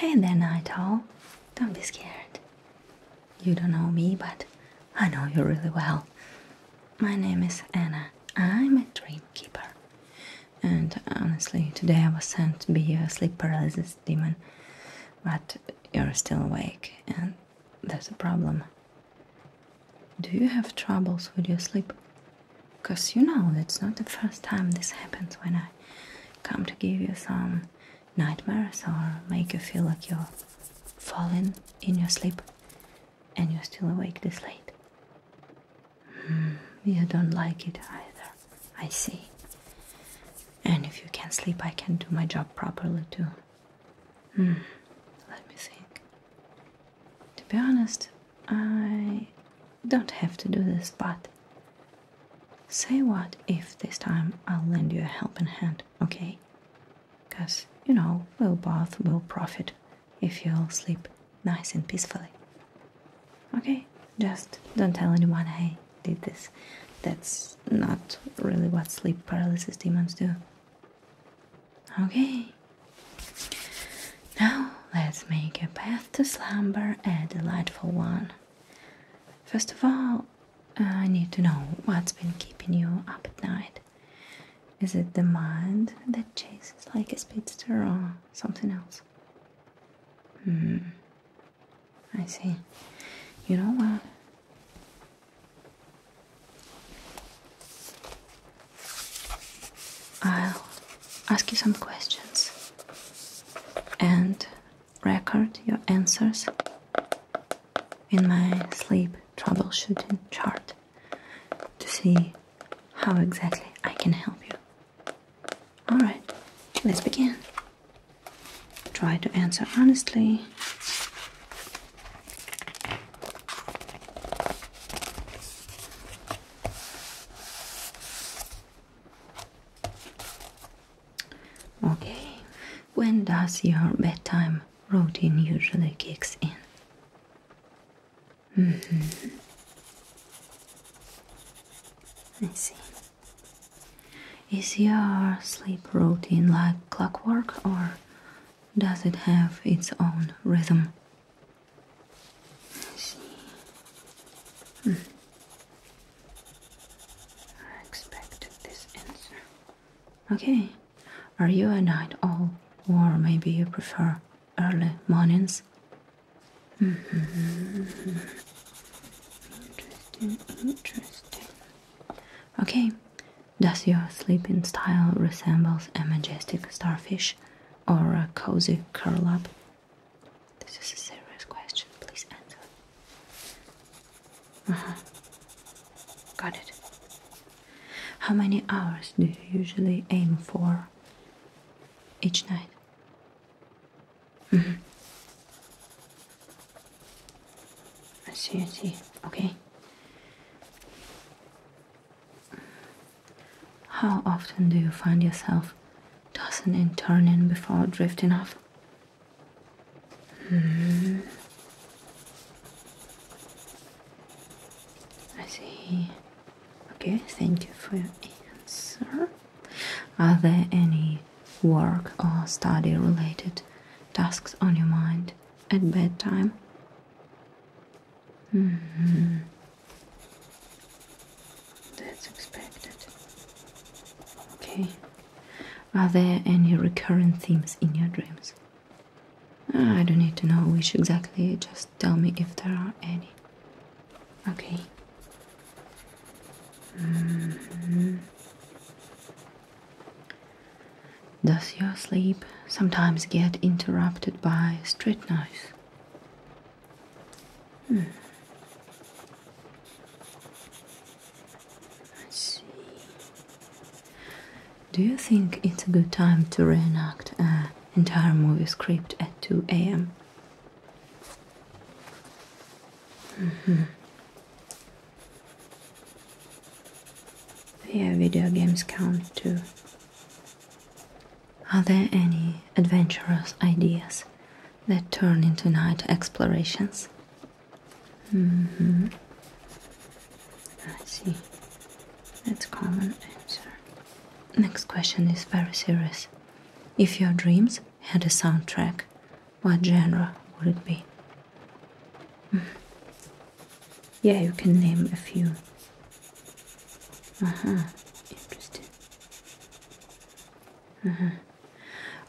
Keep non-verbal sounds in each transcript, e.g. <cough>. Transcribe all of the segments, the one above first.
Hey there, Night Owl. Don't be scared. You don't know me, but I know you really well. My name is Anna. I'm a dream keeper. And honestly, today I was sent to be a sleep paralysis demon, but you're still awake, and there's a problem. Do you have troubles with your sleep? Because you know, it's not the first time this happens when I come to give you some nightmares or make you feel like you're falling in your sleep and you're still awake this late. Mm, you don't like it either, I see. And if you can not sleep, I can do my job properly too. Hmm, let me think. To be honest, I don't have to do this, but Say what if this time I'll lend you a helping hand, okay? Because, you know, we'll both will profit if you'll sleep nice and peacefully. Okay, just don't tell anyone I did this. That's not really what sleep paralysis demons do. Okay. Now let's make a path to slumber a delightful one. First of all, uh, I need to know what's been keeping you up at night. Is it the mind that chases like a speedster or something else? Hmm. I see. You know what? I'll ask you some questions and record your answers in my sleep troubleshooting chart to see how exactly I can help you. Alright, let's begin. Try to answer honestly. Okay, when does your bedtime routine usually kicks in? Mm -hmm. see. Is your sleep routine like clockwork or does it have its own rhythm? I expected this answer. Okay, are you a night owl, or maybe you prefer early mornings? Mm-hmm. Interesting, interesting. Okay, does your sleeping style resembles a majestic starfish or a cozy curl up? This is a serious question. Please answer. Uh huh. Got it. How many hours do you usually aim for each night? Mm-hmm. I see, I see. Okay. How often do you find yourself does dozen turn in before drifting off. Hmm. I see. Okay, thank you for your answer. Are there any work or study related tasks on your mind at bedtime? Hmm. That's expected. Okay. Are there any recurrent themes in your dreams? Ah, I don't need to know which exactly, just tell me if there are any. Okay. Mm-hmm. Does your sleep sometimes get interrupted by street noise? Hmm. Let's see. Do you think it's a good time to reenact an entire movie script at 2 a.m.? Mm -hmm. Yeah, video games count too. Are there any adventurous ideas that turn into night explorations? Mm hmm. I see. That's common answer. Next question is very serious. If your dreams had a soundtrack, what genre would it be? Mm. Yeah, you can name a few. Uh huh. Interesting. Mm-hmm.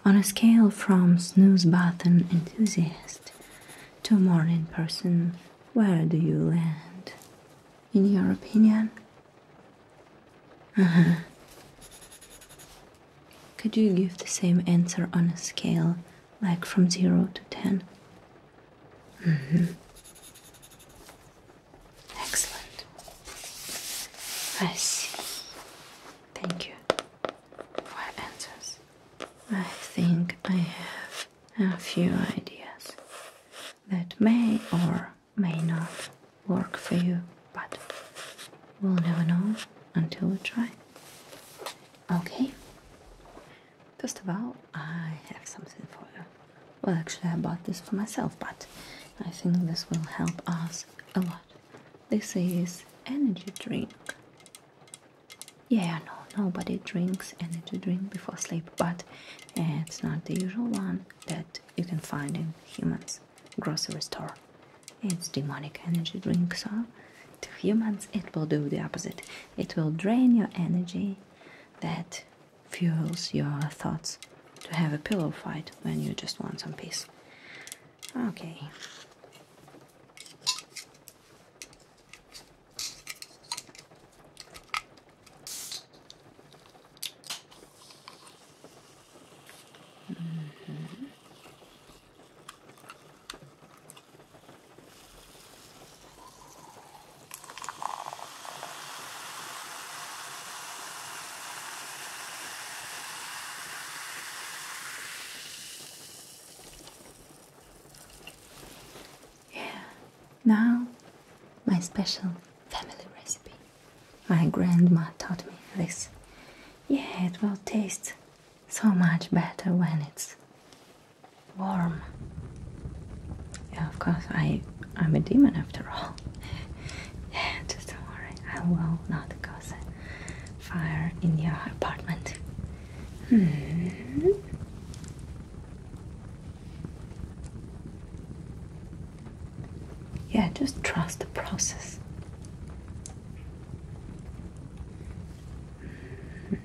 On a scale from snooze button enthusiast to morning person, where do you land? In your opinion? Mm-hmm. Could you give the same answer on a scale like from 0 to 10? Excellent. I see. Thank you for answers. I think I have a few ideas that may or may not work for you, but we'll never know until we try. Okay. First of all, I have something for you. Well, actually, I bought this for myself, but I think this will help us a lot. This is energy drink. Yeah, no, nobody drinks energy drink before sleep, but it's not the usual one that you can find in humans grocery store. It's demonic energy drink, so to humans it will do the opposite. It will drain your energy that fuels your thoughts to have a pillow fight when you just want some peace. Okay. Yeah, now my special family recipe. My grandma taught me this. Yeah, it will taste so much better when it's warm. Yeah, of course, I I, am a demon after all. Yeah, <laughs> Just don't worry, I will not cause fire in your apartment. Hmm. Yeah, just trust the process. Hmm.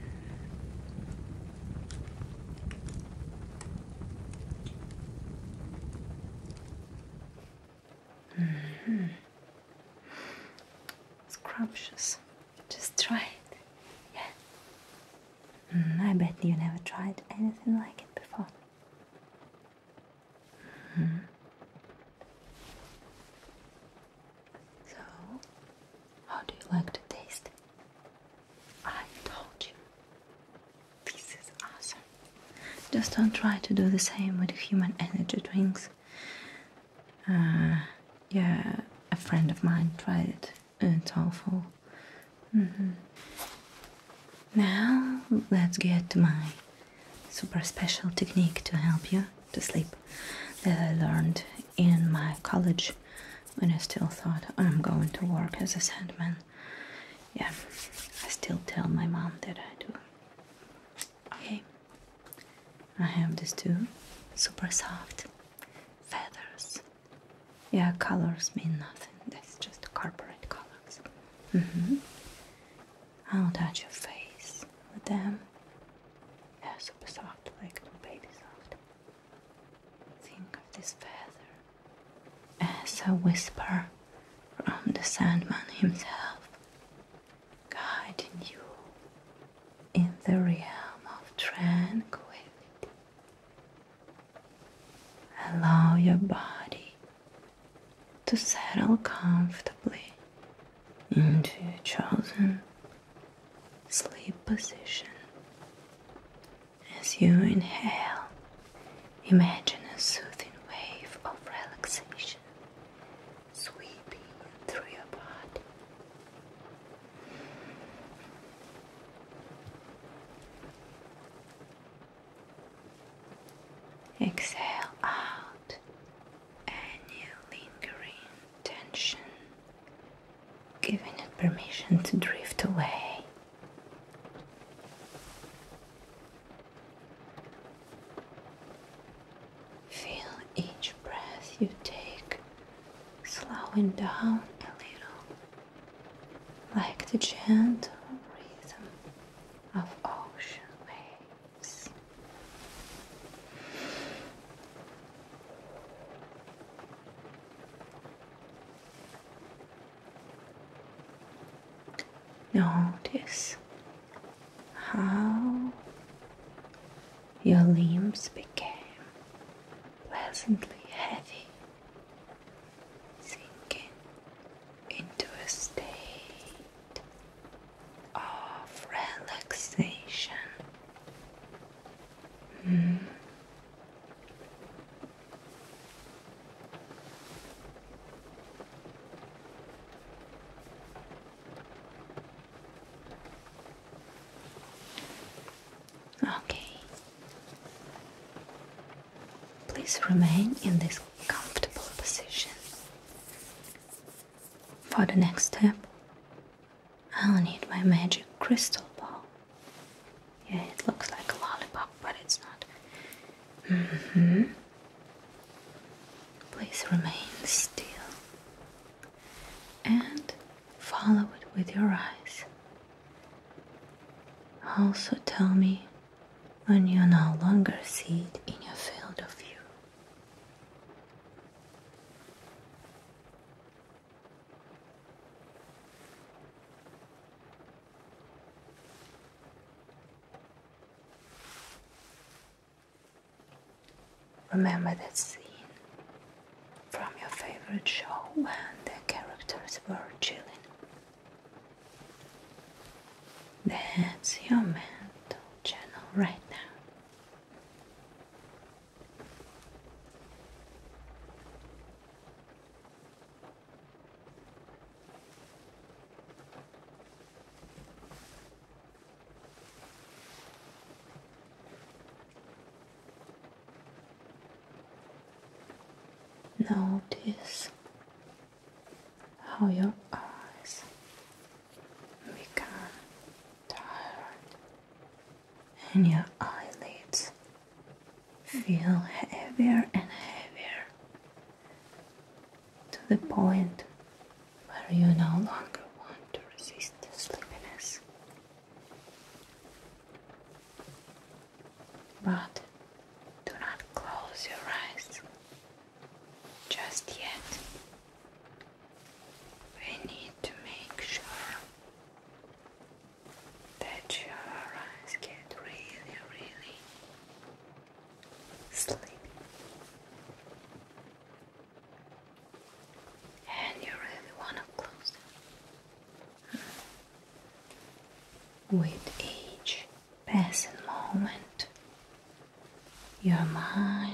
Mm -hmm. Scrumptious. Just try it. Yeah. Mm, I bet you never tried anything like it before. -hmm. So, how do you like to taste? I told you. This is awesome. Just don't try to do the same with human energy drinks. Uh, yeah, a friend of mine tried it. It's awful. Mm-hmm. Now, let's get to my super special technique to help you to sleep that I learned in my college when I still thought I'm going to work as a sandman yeah, I still tell my mom that I do. Okay, I have this too. Super soft feathers. Yeah, colors mean nothing. That's just corporate colors. Mm hmm. I'll touch your face with them. Yeah, super soft, like baby soft. Think of this feather as a whisper from the Sandman himself, guiding you in the realm of tranquility. Allow your body to settle comfortably into your chosen sleep position as you inhale, imagine a soothing wave of relaxation sweeping through your body. Exhale out any lingering tension giving it permission to drift away. Feel each breath you take slowing down a little, like the gentle rhythm of ocean waves. Notice how your limbs became pleasantly heavy, sinking into a state of relaxation. Mm. Okay. Please remain in this comfortable position. For the next step, I'll need my magic crystal ball. Yeah, it looks like a lollipop, but it's not. Mm-hmm. Please remain still and follow it with your eyes. Also, tell me when you no longer see it in your field of view. Remember that scene from your favorite show when the characters were chilling? That's your mental channel right now. Notice how your eyes become tired and your eyelids feel heavier and heavier to the point where you no longer want to resist the sleepiness. But do not close your eyes just yet we need to make sure that your eyes get really, really sleepy. And you really want to close them. With each passing moment, your mind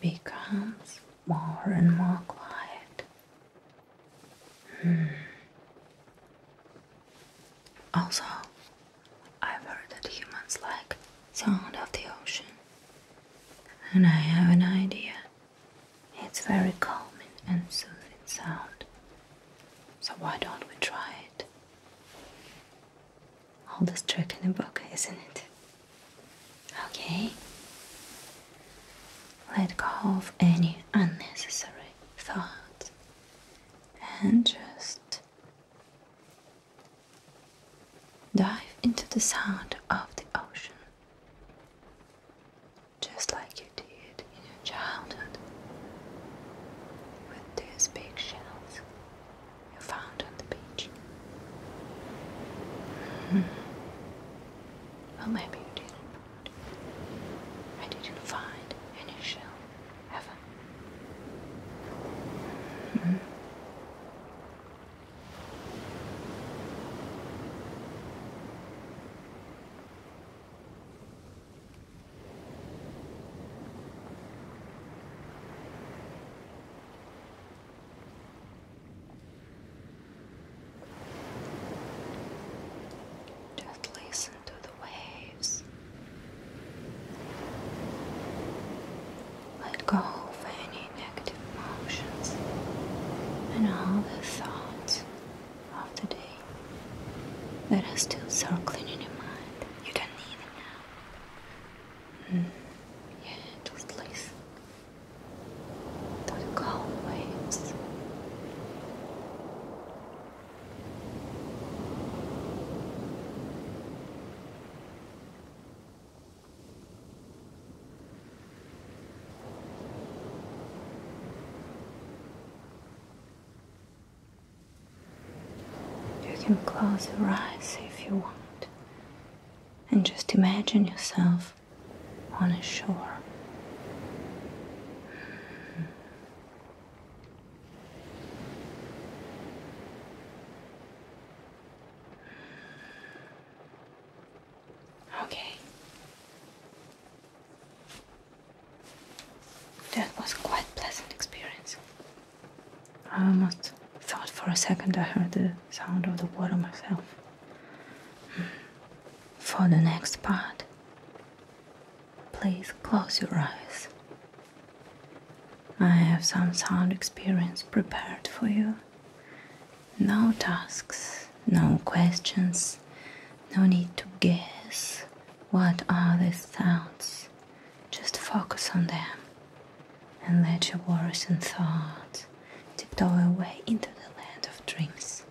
becomes more and more quiet. Hmm. Also, I've heard that humans like sound of the ocean, and I have an idea. It's very calming and soothing sound, so why don't we try it? All this trick in the book, isn't it? Okay? Let go of any unnecessary thoughts and just dive into the sound of the ocean just like you did in your childhood with those big shells you found on the beach much. <sighs> Hmm. Well, maybe you did I didn't find any shell ever. Just listen to the waves. Let go of any negative emotions and all the thoughts of the day that are still circling in your mind. You don't need them now. Mm-hmm. Yeah, just listen through waves. You can close your eyes if you want and just imagine yourself on a shore. Hmm. Okay. That was quite pleasant experience. I almost thought for a second I heard the sound of the water myself. For the next part, please close your eyes. I have some sound experience prepared for you. No tasks, no questions, no need to guess what are these sounds. Just focus on them and let your worries and thoughts tiptoe away into the land of dreams.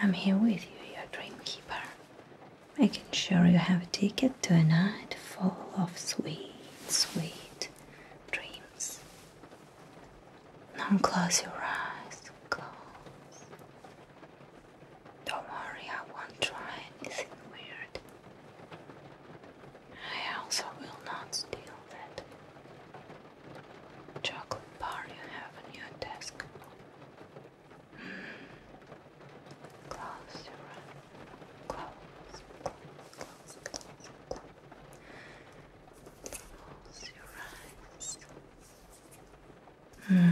I'm here with you, your dream keeper. Making sure you have a ticket to a night full of sweet, sweet dreams. Now close your eyes, close. Don't worry, I won't try anything weird. I also will not steal that chocolate bar you have on your desk. Hmm. Close your eyes. Close, close, close, close, close. Close your eyes.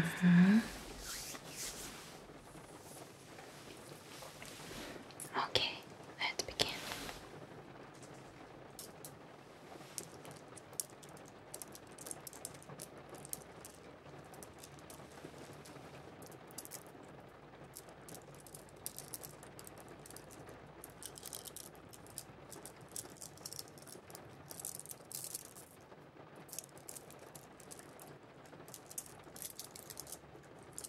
Mm-hmm. Okay, let's begin.